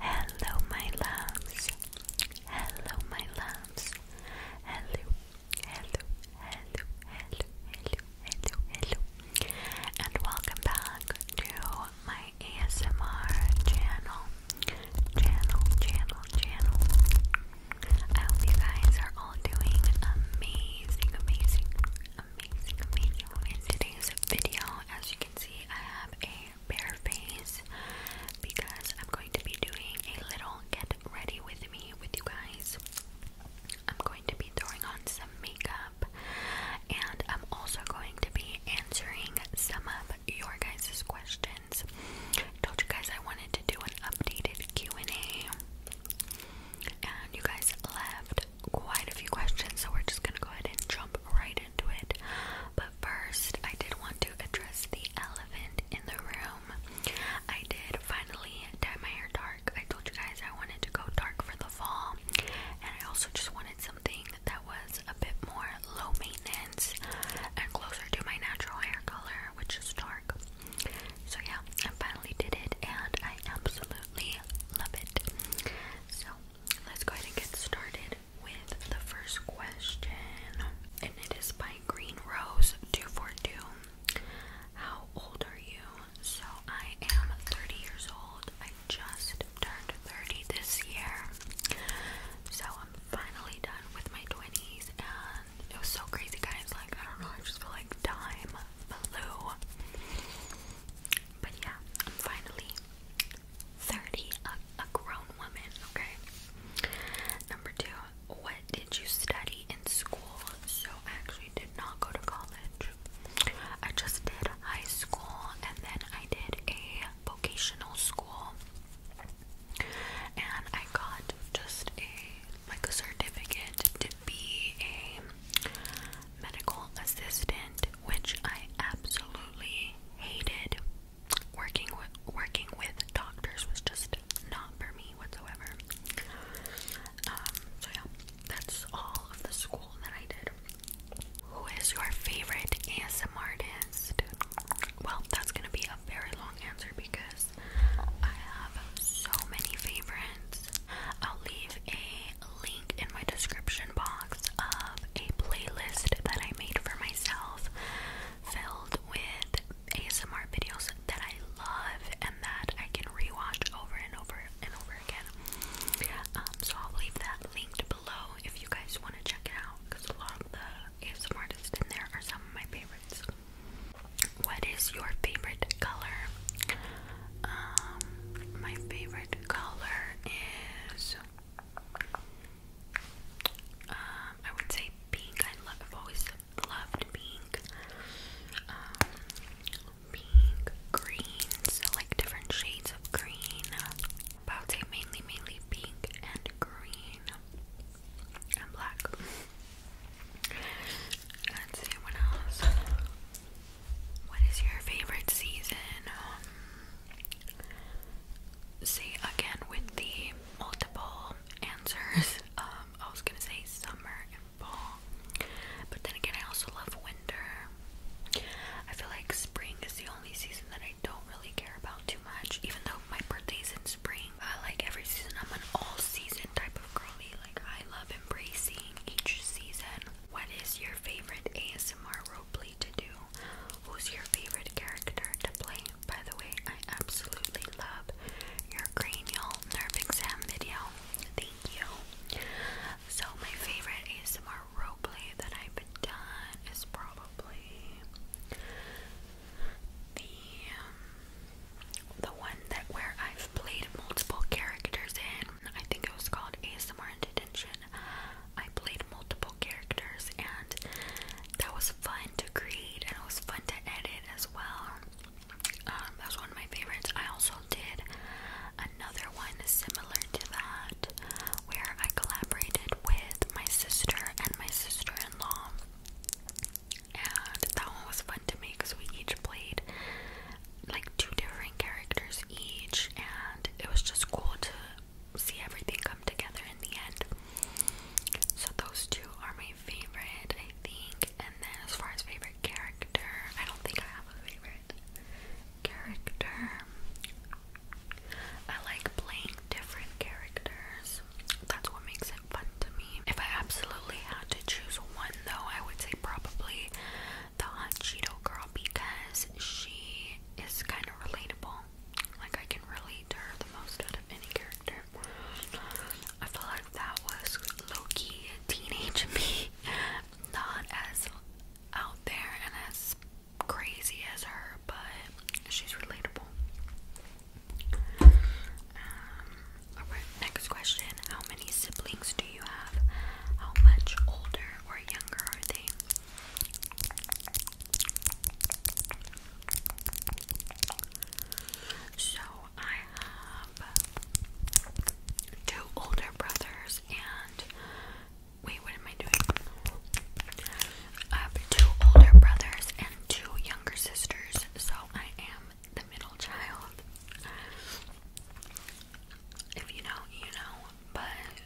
Hello, my loves. Hello, my loves. Hello, hello, hello, hello, hello, hello, hello. And welcome back to my ASMR channel. Channel, channel, channel. I hope you guys are all doing amazing, amazing, amazing, amazing. In today's video, as you can see, I have a bare face because I'm going to be doing a little get ready with me with you guys. I'm going to be throwing on some makeup and I'm also going to be answering some of your guys' questions. Told you guys I wanted to do an updated Q&A and you guys left quite a few questions, so we're just gonna go ahead and jump right into it. But first, I did want to address the elephant in the room. I did finally dye my hair dark. I told you guys I wanted to go dark for the fall, and I also just wanted something that was a bit more low maintenance and closer to my natural hair color, which is dark. So, yeah, I finally did it, and I absolutely love it. So, Let's go ahead and get started with the first question. And it is by Green Rose 242. How old are you? So I am 30 years old. I just turned 30 this year. So I'm finally done with my 20s and it was so crazy guys. Like I don't know, I just feel like time flew. But yeah, I'm finally 30, a, grown woman, okay? Number two, what did you study in school? So I actually did not go to college. I just did high school and then I did a vocational school. And I got just a like a certificate to be a medical assistant, which I absolutely hated. Working with working with doctors was just not for me whatsoever. Um, so yeah, that's all of the school that I did. Who is your favorite ASMR artist? Well, that's gonna be a very long answer because I have so many favorites. I'll leave a link in my description box of a playlist that I made for myself filled with ASMR videos that I love and that I can rewatch over and over and over again. Um, so I'll leave that linked below if you guys want to check it out because a lot of the ASMR artists in there are some of my favorites. What is your favorite color? Um, my favorite color is um, I would say pink. I have always loved pink. Um, pink, green, like different shades of green. But I mainly, mainly pink and green and black. Let's what else. What is your favorite season? Um, again, with the multiple answers, um, I was gonna say summer and fall, but then again, I also love winter. I feel like spring is the only season that I don't really care about too much, even though my birthday is in spring. I like every season, I'm an all season type of girly, like, I love embracing each season. What is your favorite ASMR roleplay to do? Who's your favorite character to play? By the way, I absolutely love your cranial nerve exam video. Thank you. So my favorite ASMR roleplay that I've done is probably the um, the one that where I've played multiple characters in I think it was called ASMR in Detention. I played multiple characters and that was fun to create and it was fun to edit as well. Um, that was one of my favorites. I also did another one similar to that where I collaborated with my sister and my sister in law. And that one was fun to me because we each played like two different characters each, and it was just cool to see everything come together in the end. So, those two are my favorite, I think. And then, as far as favorite character, I don't think I have a favorite character. I like playing different characters, that's what makes it fun to me. If I absolutely had to choose one, though, I would say probably the hot Cheeto girl because she is kind of relatable. Like, I can relate to her the most out of any character. I feel like that was low teenage me, not as out there and as crazy as her, but she's relatable. Um, next question How many siblings do you have? How much older or younger are they? So I have two older brothers and wait, what am I doing? I have two older brothers and two younger sisters, so I am the middle child. If you know, you know, but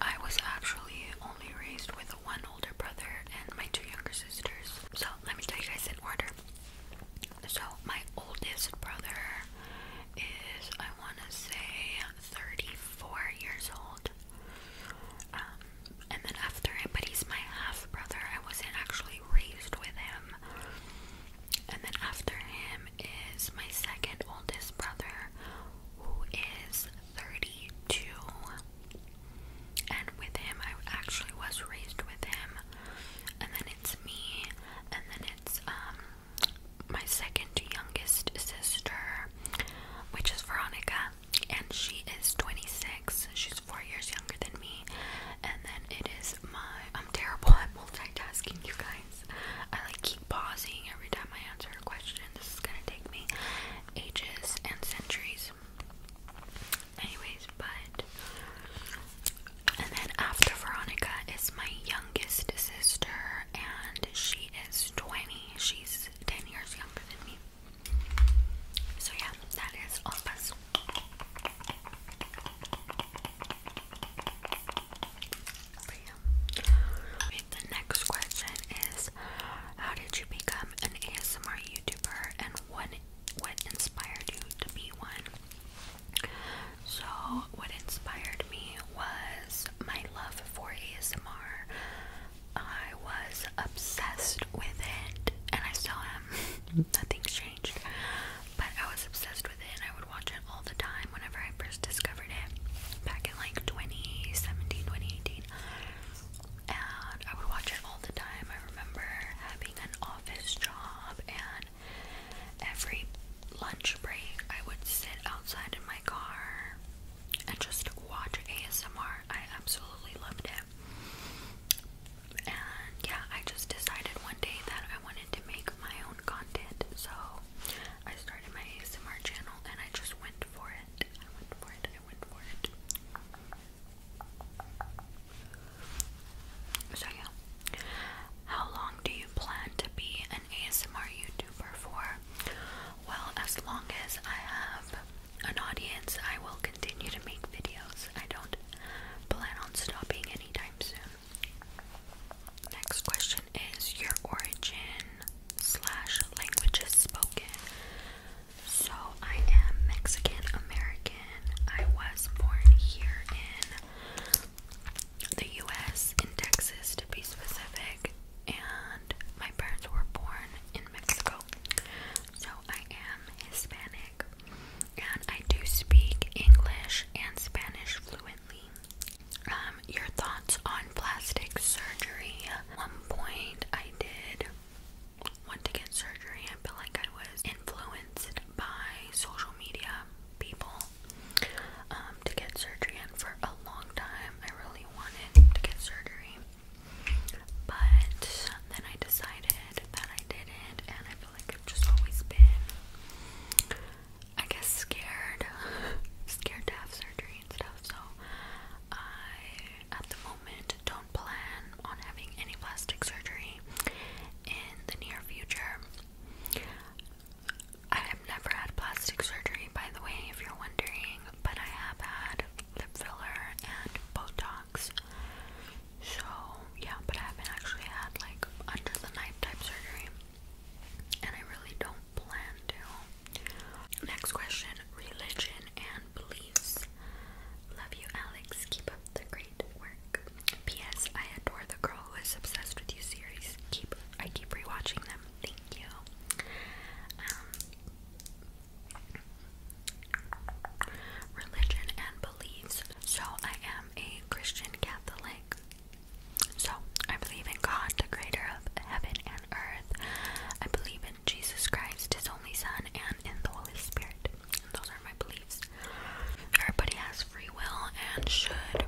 I was actually only raised with one older brother and my two younger sisters. So let me tell you guys in order. So my oldest brother is, I want to say, 34 years old. Um, and then after him, but he's my half brother. I wasn't actually raised with him. And then after him is my second oldest brother, who is 32. And with him, I actually was raised with him. And then it's me, and then it's um my second youngest sister, which is Veronica, and she is 26. She's four years younger than me. And then it is my I'm terrible at multitasking, you guys. I like keep pausing every time I answer a question. This is gonna take me ages and centuries. Anyways, but and then after Veronica is my youngest sister, and she is 20. She's 10 years younger than me. So, yeah, that is all of us the next question is How did you become an ASMR YouTuber and what, what inspired you to be one? So, what inspired me was my love for ASMR. I was obsessed with it, and I still am. Nothing's changed. But I was obsessed and I would watch it all the time whenever I first discovered it back in like 2017, 2018. And I would watch it all the time. I remember having an office job and every lunch break I would sit outside in my car and just watch ASMR. I absolutely loved it. And yeah, I just decided one day that I wanted to make my own content, so I started my ASMR channel and I just went for it. I went for it, I went for it. So, yeah. How long do you plan to be an ASMR YouTuber for? Well, as long as I have an audience, I will continue to make videos. I don't plan on stopping anytime soon. Next question is your origin slash languages spoken. So I am Mexican American. I was born here in the US, in Texas to be specific, and my parents were born in Mexico. So I am Hispanic and I do speak English and Spanish fluently. Um, your thoughts on plastic surgery. At one point, I did want to get surgery. I feel like I was influenced by social media people um, to get surgery, and for a long time, I really wanted to get surgery. But then I decided that I didn't, and I feel like I've just always been I guess scared, scared to have surgery and stuff. So I, at the moment, don't plan on having any plastic surgery in the near future. I have never had plastic surgery, by the way, if you're wondering, but I have had lip filler and Botox. So yeah, but I haven't actually had like under the knife type surgery and I really don't plan to. Next question religion and beliefs. Love you, Alex. Keep up the great work. P.S. I adore the girl who is obsessed with you series. Keep I keep rewatching them. Thank you. Um, religion and beliefs. So I am a Christian Catholic. So, I believe in God, the creator of heaven and earth. I believe in Jesus Christ, his only Son, and in the Holy Spirit. Those are my beliefs. Everybody has free will and should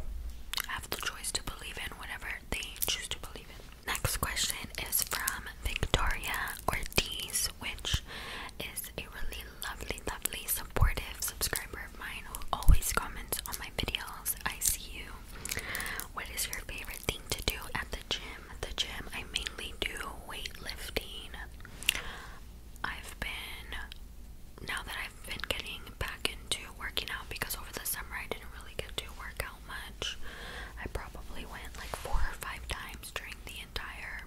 have the choice to believe in whatever they choose to believe in. Next question is from Victoria Ortiz, which is a really lovely, lovely, supportive subscriber of mine who always comments on my videos. I see you. What is your favorite thing to do at the gym? At the gym, I mainly do weightlifting. I've been, now that I've been getting back into working out because over the summer I didn't really get to work out much. I probably went like four or five times during the entire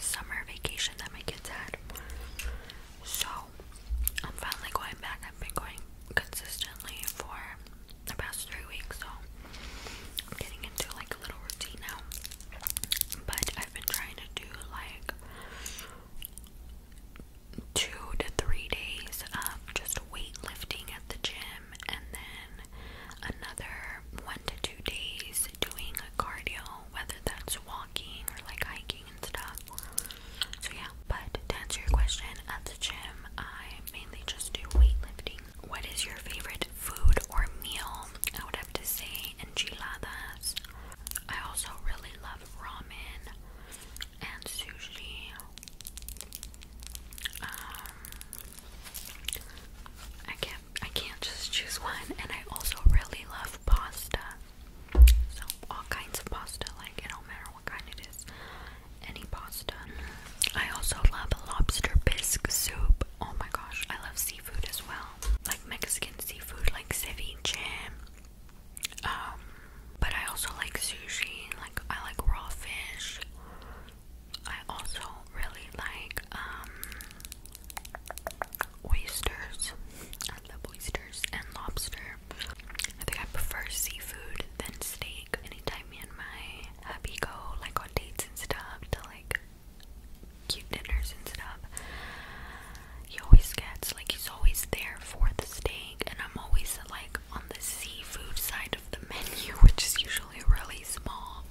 summer vacation that my kids had. So I'm finally going back. I've been going consistently for the past three weeks, so I'm getting into like a little routine now. But I've been trying to do like two to three days of just weightlifting at the gym, and then another one to two days doing a cardio, whether that's walking or like hiking. So yeah, but to answer your question, at the gym I mainly just do weightlifting. What is your favorite food or meal? I would have to say enchiladas. I also really love ramen and sushi. Um I can't I can't just choose one and I also really love pasta. So all kinds of pasta, like it don't matter what kind it is. Any pasta. I also love lobster bisque soup. Oh my gosh, I love seafood as well. Like Mexican seafood, like ceviche. Um, but I also like sushi. Like I like raw fish. I also really like um oysters. I love oysters and lobster here. I think I prefer seafood than steak. Anytime me and my hubby go like on dates and stuff to like cute dinners and stuff, he always gets like he's always there for the steak, and I'm always like on the seafood side of the menu, which is usually really small.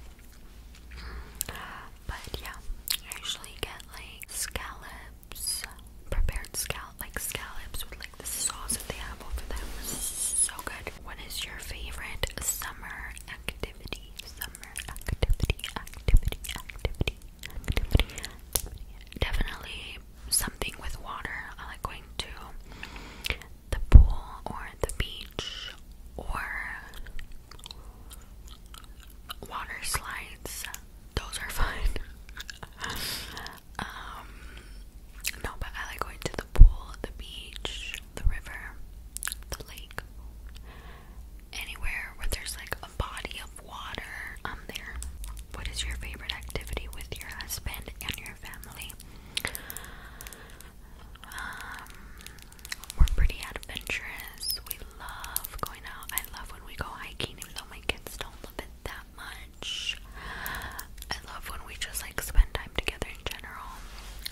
But yeah, I usually get like scallops prepared scallop, like scallops with like the sauce that they have over them. So good. What is your favorite summer activity? Summer activity, activity, activity, activity. Definitely something with water. I like going to the pool or the beach or water slides. Those are fun. Um, no, but I like going to the pool, the beach, the river, the lake, anywhere where there's like a body of water. I'm um, there. What is your favorite activity with your husband and your family? Um, we're pretty adventurous. We love going out. I love when we go hiking, even though my kids don't love it that much. I love when we just like spend time together in general.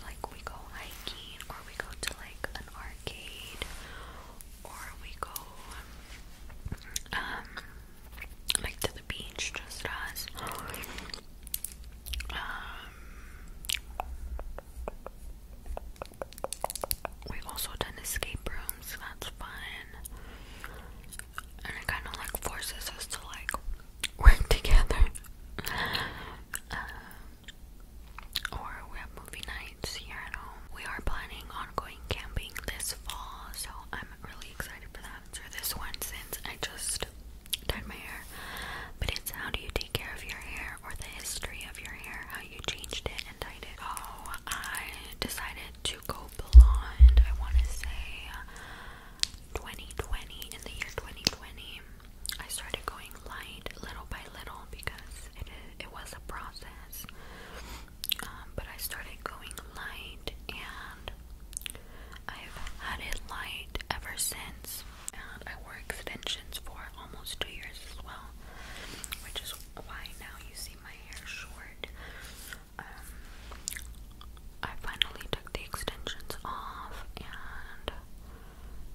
Like we go hiking or we go to like an arcade or we go um like to the beach just us. Um We've also done escape rooms, that's fun and it kind of like forces us to like work together. Um, or we have movie nights here at home. We are planning on going camping this fall, so I'm really excited for that. For this one, since I just dyed my hair, but it's how do you take care of your hair or the history of your hair, how you changed it and dyed it. Oh, I decided to go blonde. I want to say 2020, uh, in the year 2020, I started going light little by little because it, was a process. Um, but I started going light and I've had it light ever since. And I wore extensions for almost two years as well, which is why now you see my hair short. Um, I finally took the extensions off and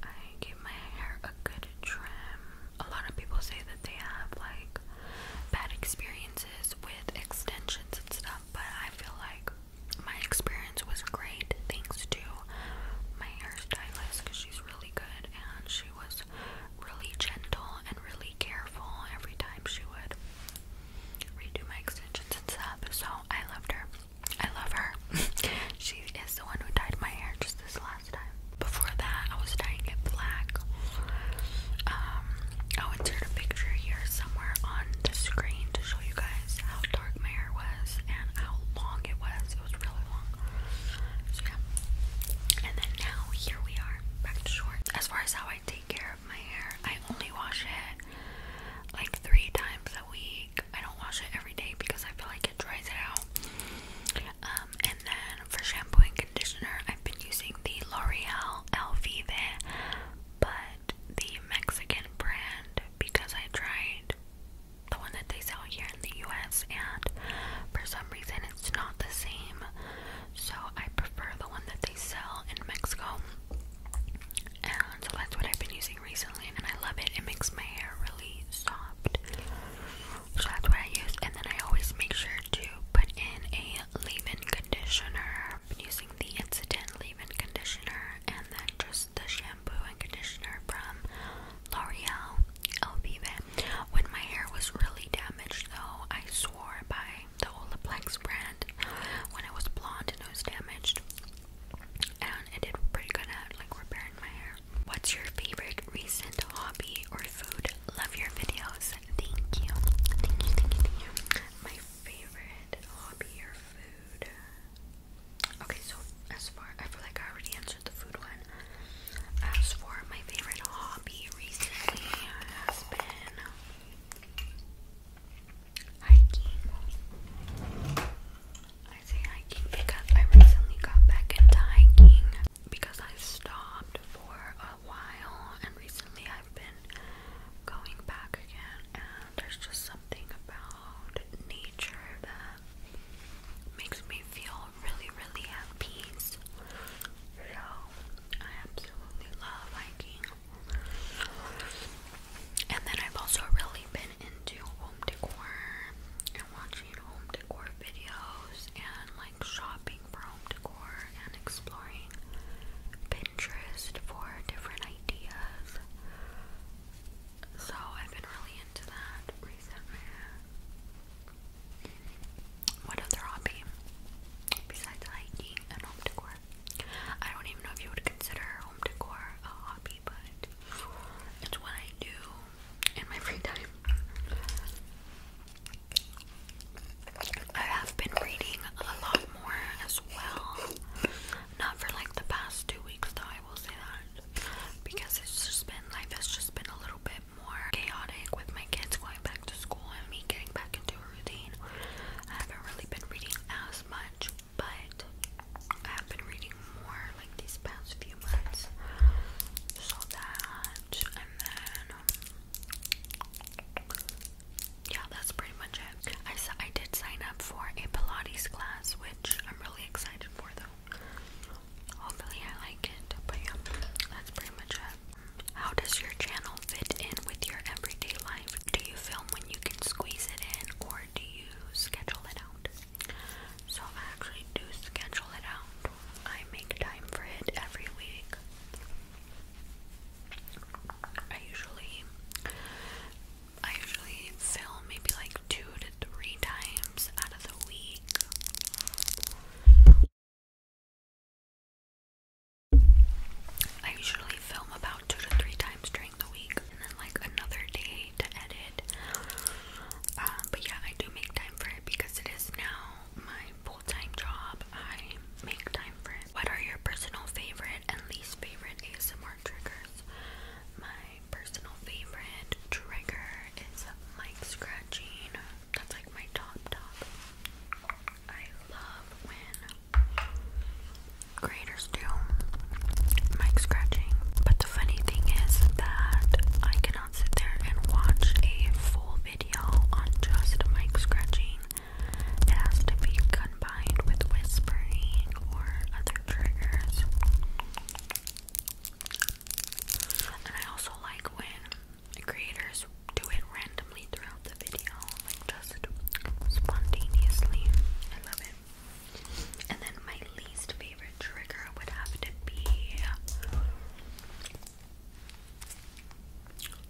I gave my hair a good trim. A lot of people say that they have like bad experiences with extensions and stuff, but I feel like my experience was great thanks to my hairstylist because she's really good and she was really gentle and really careful every time she would redo my extensions and stuff. So I loved her. I love her. she is the one who dyed my hair just this last time. Before that, I was dyeing it black. I'll insert a picture here somewhere on the screen to show you guys how dark my hair was and how long it was. It was really long. So yeah. And then now here we are, back to short. As far as how I take care my hair. I only wash it like three times a week. I don't wash it every day because I feel like it dries it out. Um, and then for shampoo and conditioner, I've been using the L'Oreal Elvive, but the Mexican brand because I tried the one that they sell here in the US, and for some reason it's not the same. So I prefer the one that they sell in Mexico. And that's what I've been using recently and I love it. It makes my hair really soft. So that's what I use. And then I always make sure to put in a leave-in conditioner. I'm using the Incident leave-in conditioner and then just the shampoo and conditioner from L'Oreal Elvive. When my hair was really damaged though, I swore by the Olaplex brand when it was blonde and it was damaged. And it did pretty good at like repairing my hair. What's your favorite recent hobby or food? Love your videos. Thank you, thank you, thank you. My favorite hobby or food. Okay, so as far I feel like I already answered the food one. As for my favorite hobby recently has been hiking. I say hiking because I recently got back into hiking because I stopped for a while and recently I've been going back again and there's just something about nature that makes me feel really really at peace. So I absolutely love hiking. And then I've also really been into home decor and watching home decor videos and like shopping for home decor and exploring Pinterest for different ideas. So I've been really into that recently. What other hobby besides hiking and home decor? I don't even know if you would consider home decor a hobby, but it's what I do in my free time. I have been reading a lot more as well. Not for like the past two weeks though, I will say that. Because it's just been life has just been a little bit more chaotic with my kids going back to school and me getting back into routine. I haven't really been reading as much, but I have been reading more like these past few months. So that, and then, yeah, that's pretty much it. I, I did sign up for a Pilates class, which I'm really excited for though. Hopefully, I like it, but yeah, that's pretty much it. How does your channel fit in with your everyday life? Do you film when you can squeeze it in or do you schedule it out? So I actually do schedule it out. I make time for it every week. I usually I usually film maybe like two to three times out of the week. I usually film about two to three times during the week and then like another day to edit. Um, but yeah, I do make time for it because it is now my full time job. I make time for it. What are your personal favorite and least favorite ASMR triggers? My personal favorite trigger is mic scratching. That's like my top top. I love when graders do mic scratching. But the funny thing is that I cannot sit there and watch a full video on just mic scratching. It has to be combined with whispering or other triggers. And I also like when creators do it randomly throughout the video, like just spontaneously. I love it. And then my least favorite trigger would have to be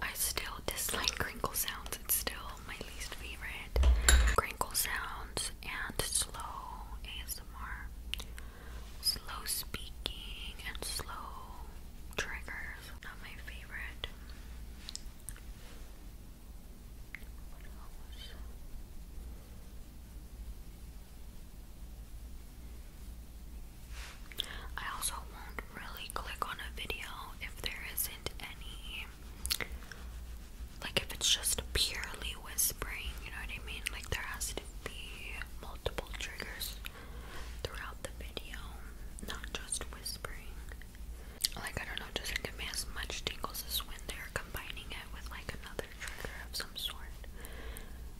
I still dislike crinkle sounds. It's still my least favorite. Crinkle sounds and slow ASMR. Slow speaking and slow triggers. Not my favorite. I also won't really click on a video if there isn't any like if it's just purely whispering, you know what I mean? Like there has to be multiple triggers throughout the video, not just whispering. Like, I don't know, doesn't give me as much tingles as when they're combining it with like another trigger of some sort.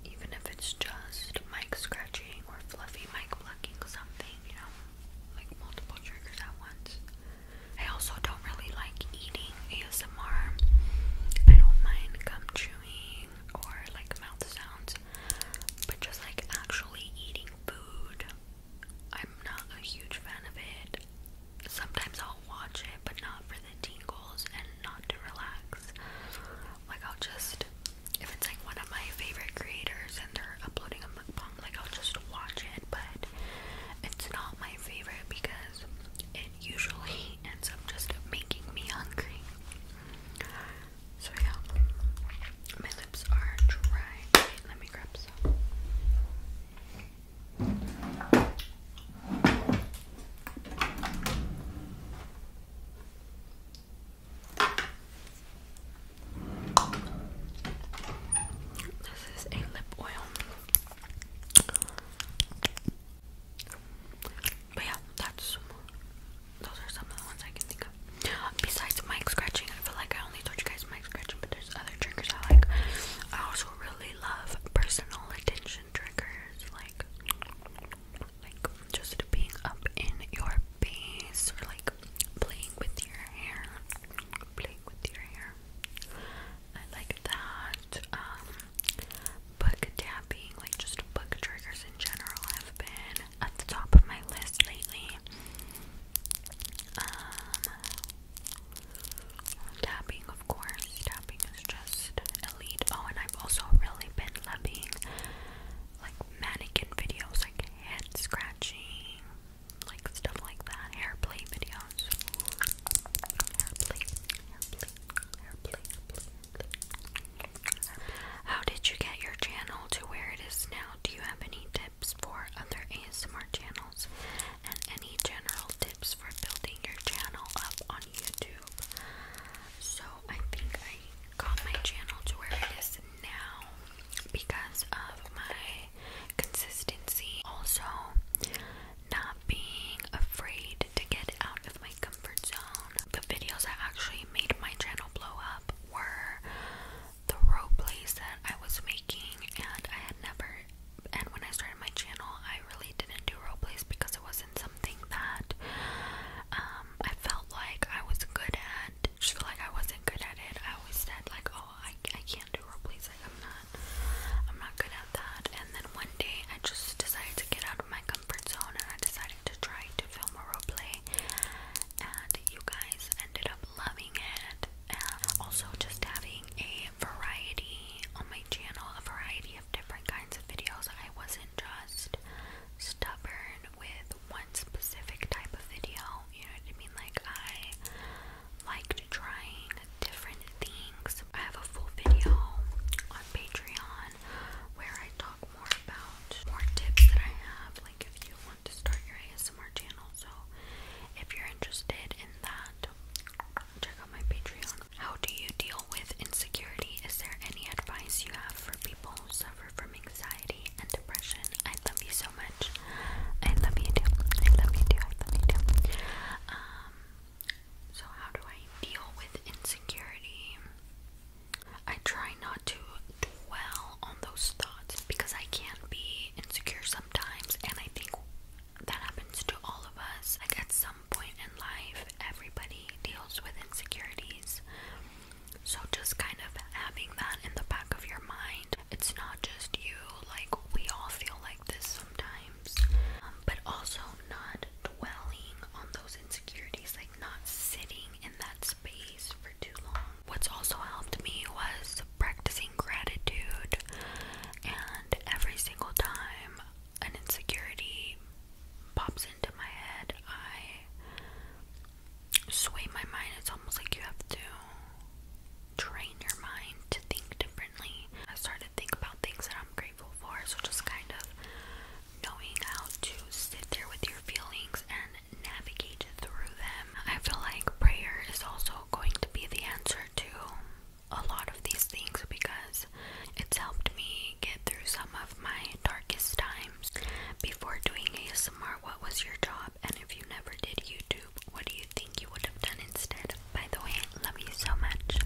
Even if it's just mic scratching or fluffy mic plucking something, you know, like multiple triggers at once. I also don't really like eating ASMR. I don't mind gum chewing or like mouth sounds, but just like actually eating food I'm not a huge fan of it. Sometimes I'll watch it, but not for the tingles and not to relax. Like, I'll just, if it's like one of my favorite creators and they're uploading a mukbang, like, I'll just watch it, but it's not my favorite because it usually ends up just making me hungry. So yeah, my lips are dry. let me grab some. This is a lip oil. yeah, that's those are some of the ones I can think Besides mic scratching, I feel like I only told you guys mic scratching, but there's other triggers I like. I also really love personal attention triggers, like like just being up in your face or like playing with your hair, playing with your hair. I like that. Um, book tapping, like just book triggers in general, have been at the top of my list lately. Um, of course. Tapping is just elite. Oh, and I've also really been loving like mannequin videos, like head scratching, like stuff like that. Hair play videos. hair play, hair play, hair play. How did you get your channel to where it is now? Do you have any tips? tips for other ASMR channels and any general tips for building your channel up on YouTube. So I think I got my channel to where it is now because of my consistency. Also, not being afraid to get out of my comfort zone. The videos that actually made my channel blow up were the row plays that I was making, and I had never. And when I started my channel, I really didn't do role plays because it wasn't something that um, I felt like I was good at. Just feel like I wasn't good at it. I always said like, "Oh, I, I can't do role plays. Like, I'm not, I'm not good at that." And then one day, I just decided to get out of my comfort zone, and I decided to try to film a role play. And you guys ended up loving it. And also, just having a variety on my channel, a variety of different kinds of videos. I wasn't just stubborn with one specific type of video, you know what I mean? Like, I liked trying different things. I have a full video on Patreon where I talk more about more tips that I have. Like, if you to start your ASMR channel. So if you're interested in that, check out my Patreon. How do you deal with insecurity? Is there any advice you have for people who suffer from anxiety and depression? I love you so much. I love you too. I love you too. I love you too. Um so how do I deal with insecurity? I try not to dwell on those thoughts because I can be insecure sometimes, and I think that happens to all of us. Like at some point in life, everybody deals with insecurities. So just kind of having that in the back of your mind. It's not just you, like we all feel like this sometimes. Um, but also not dwelling on those insecurities, like not sitting in that space for too long. What's also helped me was practicing gratitude, and every single time an insecurity pops into my head, I sway my mind. It's almost like you have to train your mind to think differently. I started to think about things that I'm grateful for, so just kind of knowing how to sit there with your feelings and navigate through them. I feel like prayer is also going to be the answer to a lot of these things because it's helped me get through some of my darkest times. Before doing ASMR, what was your job? And if you never did YouTube, what do you think you would have done instead? By the way, I love you so much.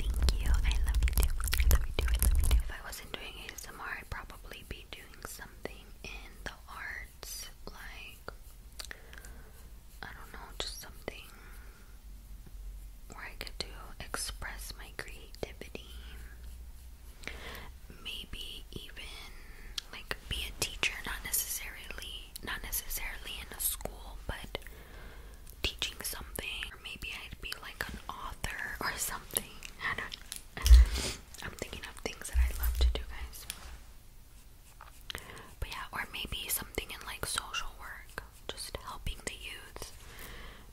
Thank you. I love you too. I love you too. I love you too. If I wasn't doing ASMR, I'd probably be doing something in the art like I don't know, just something where I get to express my creativity. Maybe even like be a teacher, not necessarily not necessarily in a school, but teaching something. Or maybe I'd be like an author or something. I don't I'm thinking of things that I love to do, guys. But yeah, or maybe something in like social work, just helping the youths.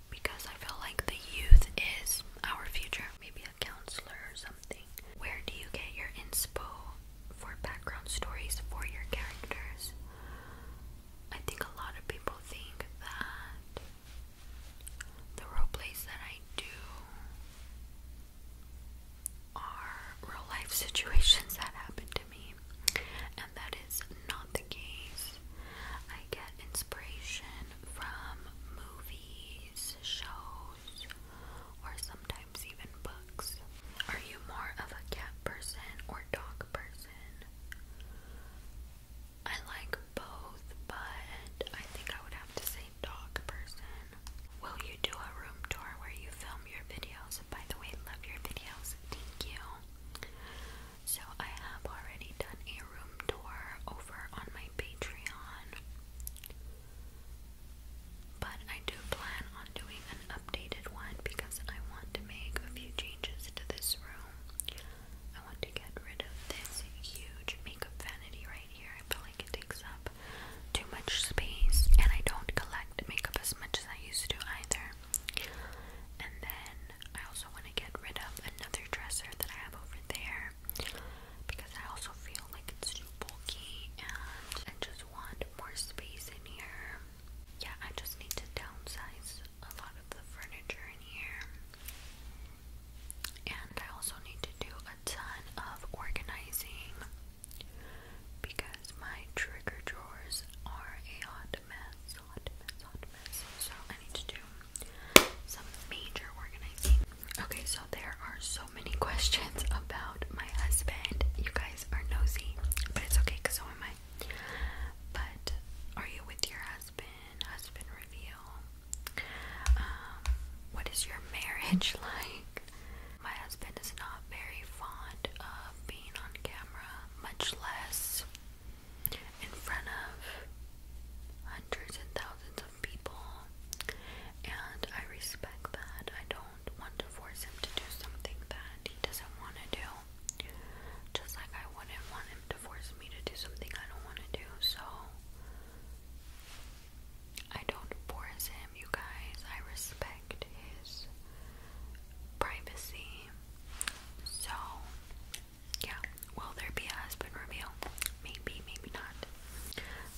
because I feel like the youth is our future. Maybe a counselor or something. Where do you get your inspo for background stories for your characters? I think a lot of people think that the role plays that I do are real life situations that happened to me, and that is not the case. I get inspiration from movies, shows, or sometimes even books. Are you more of a cat person or dog person? I like both, but I think I would have to say a person. Will you do a room tour where you film your videos? By the way, love your videos. Thank you. So I have already done a room tour over on my Patreon. But I do plan on doing an updated one because I want to make a few changes to this room. I want to get rid of this huge makeup vanity right here. I feel like it takes up too much space, and I don't collect makeup as much as I used to either. And then I also want to get rid of another dresser that I have over there because I also feel like it's too bulky and I just want more space in here. Yeah, I just need to downsize a lot of the furniture in here. And I also need to do a ton of organizing because my trigger drawers are a hot mess, hot mess, hot mess. So I need to do some major organizing. Okay, so there are so many questions about my husband. You guys are nosy, but it's okay because so am I. But are you with your husband? Husband reveal. Um, what is your marriage like? My husband is not very fond of being on camera, much less in front of hundreds and thousands of people. And I respect that. I don't want to force him to do something that he doesn't want to do. Just like I wouldn't want him to force me to do something I don't want to do. So I don't force him, you guys. I respect his privacy. So, yeah. Will there be a husband reveal? Maybe, maybe not.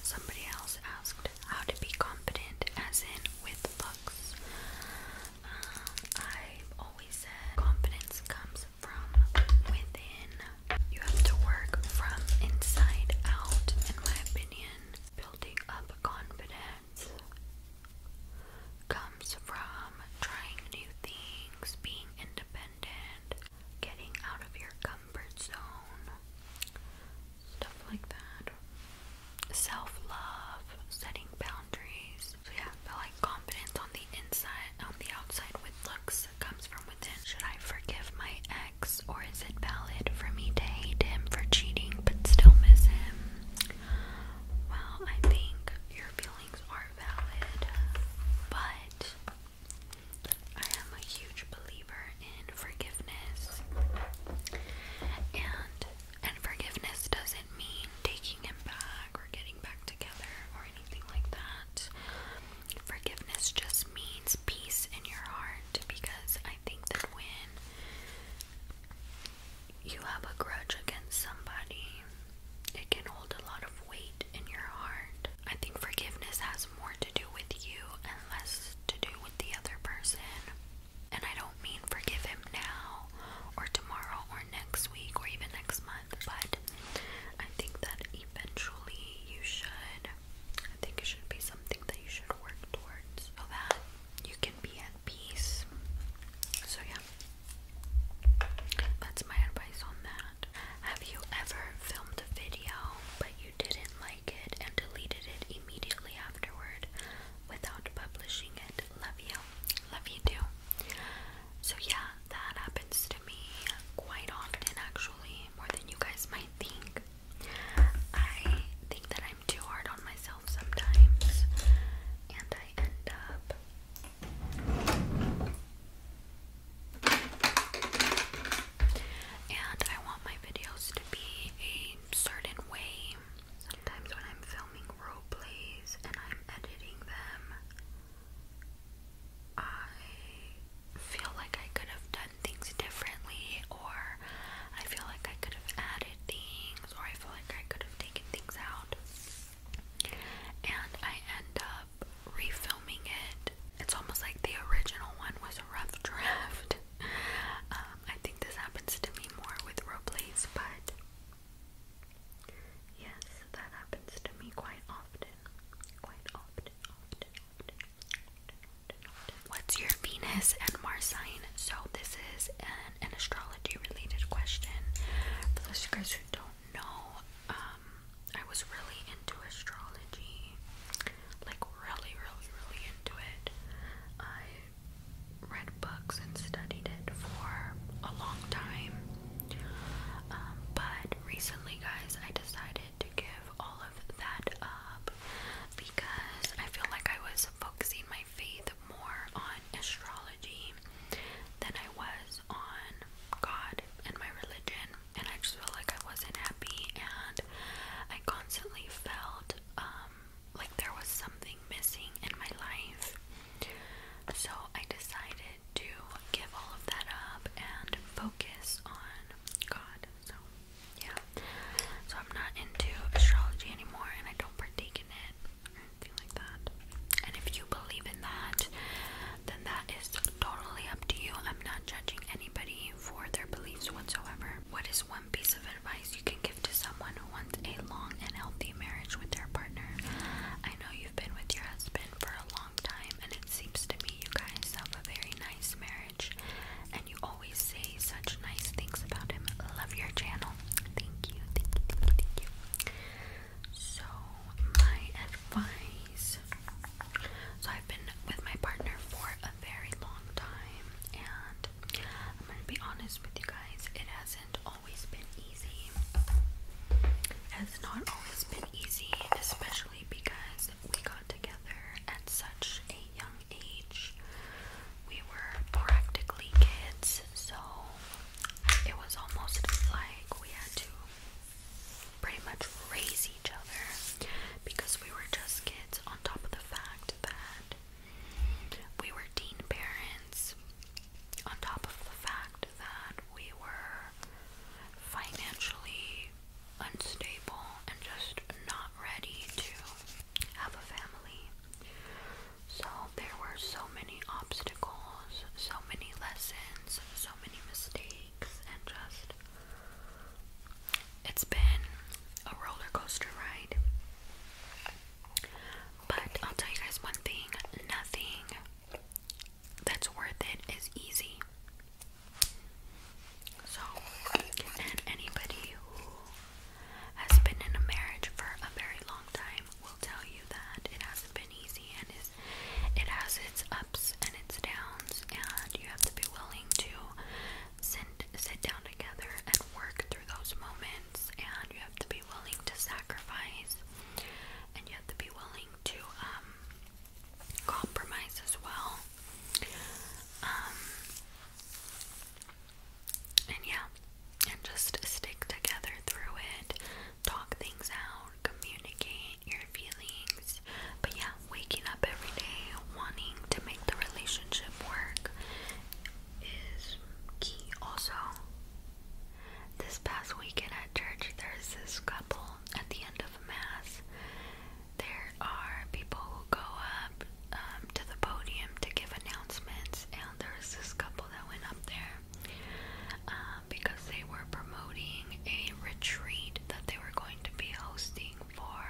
Somebody else asked how to be confident, as in with looks. Um, i always said confidence comes from within. You have to work from inside out, in my opinion. Building up confidence comes from trying new things, being independent, getting out of your comfort zone, stuff like that. Self love, setting boundaries. So, yeah, but like confidence on the inside, on the outside with looks comes from within. Should I I forgive my ex, or is it valid for me to hate him for cheating but still miss him? Well, I think your feelings are valid, but I am a huge believer in forgiveness. And and forgiveness doesn't mean taking him back or getting back together or anything like that. Forgiveness just means peace in your heart because I think that when you have a grudge against somebody, it can hold a lot of weight in your heart. I think forgiveness has more to do with you and less to do with the other person. And I don't mean forgive him now or tomorrow or next week or even next month, but I think that eventually you should I think it should be something that you should work towards so that you can be at peace. So, yeah, that's my advice on that. Have you ever filmed a video but you didn't like it and deleted it immediately afterward without publishing it? Love you. Love you too. So, yeah, that happens to me quite often actually, more than you guys might think. I think that I'm too hard on myself sometimes, and I end up. And I want my videos to be a certain way. Sometimes when I'm filming role plays and I'm editing them, I feel like I could have done things differently, or I feel like I could have added things, or I feel like I could have taken things out. And I end up refilming it. It's almost like the original one was a rough draft. Um, I think this happens to me more with roleplays, but yes, that happens to me quite often. Quite often, often, often. What's your Venus and Mars sign? So, this is an, astrology related question. For those guys who don't know, um, I was really into astrology. Like, really, really, really into it. I read books and studied it for a long time. Um, but recently, guys, I decided to give all of that up because I feel like I was focusing my faith more on astrology than I was on God and my religion, and I just felt like I wasn't happy, and I constantly felt um, like there was something missing in my life. So I decided to give all of that up and focus on God. So yeah. So I'm not into astrology anymore, and I don't partake in it or anything like that. And if you believe in that, then that is totally up to you. I'm not judging anybody for their beliefs whatsoever. What is one piece of advice you can give to someone who wants a long and healthy marriage with their partner? I know you've been with your husband for a long time, and it seems to me you guys have a very nice marriage and you always say such nice things about him. Love your channel. Thank you, thank you, thank you, thank you. So, my advice. So, I've been with my partner for a very long time, and I'm gonna be honest with you guys, it hasn't always been easy. has not always been easy, especially because we got together at such a young age. We were practically kids, so it was almost like we had to pretty much raise each other because we were just kids, on top of the fact that we were teen parents, on top of the fact that we were financially unstable and just not ready to have a family. So there were so many obstacles, so many lessons, so many mistakes, and just it's been a roller coaster ride. But I'll tell you guys one thing nothing that's worth it is easy. So, anybody who has been in a marriage for a very long time will tell you that it hasn't been easy and is it has its ups and its downs and you have to be willing to sit sit down together and work through those moments and you have to be willing to sacrifice and you have to be willing to um compromise as well. Um and yeah, and just stick together through it, talk things out, communicate your feelings. But yeah, waking up every day wanting to make the relationship work is key. Also, this past weekend at church, there's this couple at the end of Mass. There are people who go up um, to the podium to give announcements, and there was this couple that went up there uh, because they were promoting a retreat that they were going to be hosting for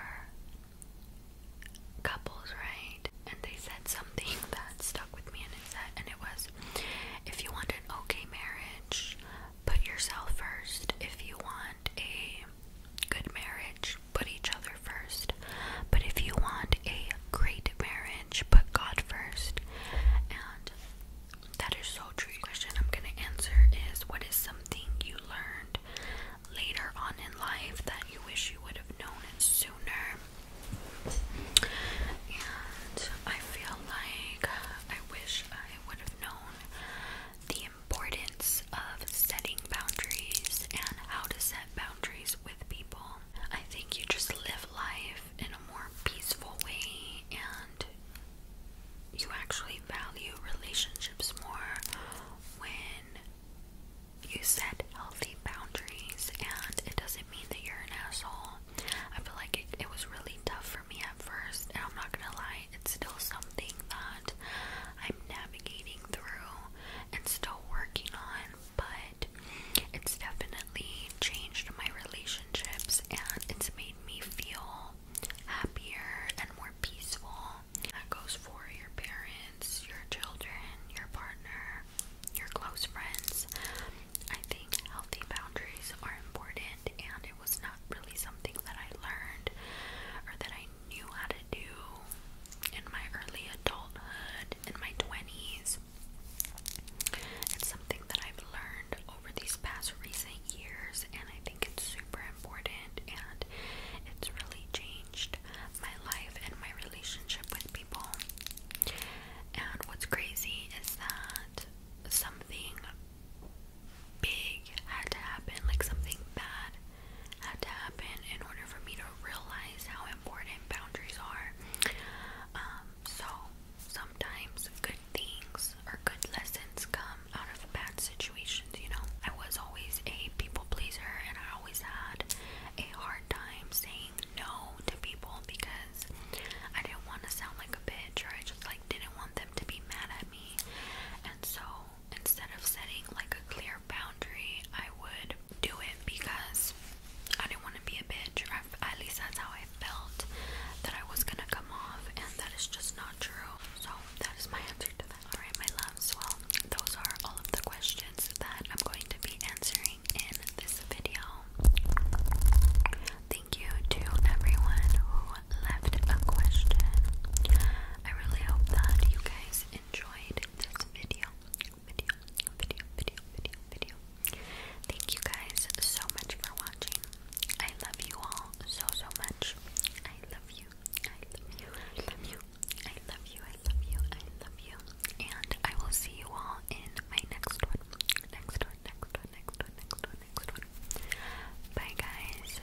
couples, right? And they said something that stuck with me, and it said, and it was, if you want an okay marriage, put yourself first. If you want a good marriage, put each other first. But if you want a great marriage, put God first. And that is so true. question I'm going to answer is what is something you learned later on in life that you wish you would have known sooner? And I feel like I wish I would have known the importance of setting boundaries and how to set boundaries boundaries with people. I think you just live life in a more peaceful way and you actually value relationships more when you set healthy boundaries and it doesn't mean that you're an asshole. I feel like it, it was really tough for me at first and I'm not gonna lie, it's still something that I'm navigating through and still working on, but it's definitely changed my relationships and it's made me feel happier and more peaceful. That goes for your parents, your children, your partner, your close friends. I think healthy boundaries are important, and it was not really something that I learned or that I knew how to do in my early adulthood, in my 20s. It's something that I've learned over these past recent years, and I think it's super important and it's really changed my life and my relationship with people. And what's crazy is that something big had to happen, like something bad had to happen in order for me to realize how important boundaries are. Um, so sometimes good things or good lessons come out of bad situations, you know. I was always a people pleaser and I always had a hard time saying no to people because I didn't want to sound like a bitch or I just like didn't want them to be mad at me. And so instead of setting like a clear boundary, I would do it because I didn't want to be a bitch, or at least that's how I felt that I was gonna come off, and that is just not true. So, that is my answer to that. Alright, my loves, well, those are all of the questions that I'm going to be answering in this video. Thank you to everyone who left a question. I really hope that you guys enjoyed this video video, video, video, video, video. Thank you guys so much for watching. I love you all so, so much. I love you. I love you. I love you. I love you. I love you. And I will see you all in my next one. Next one, next one, next one, next one, next one. Bye, guys.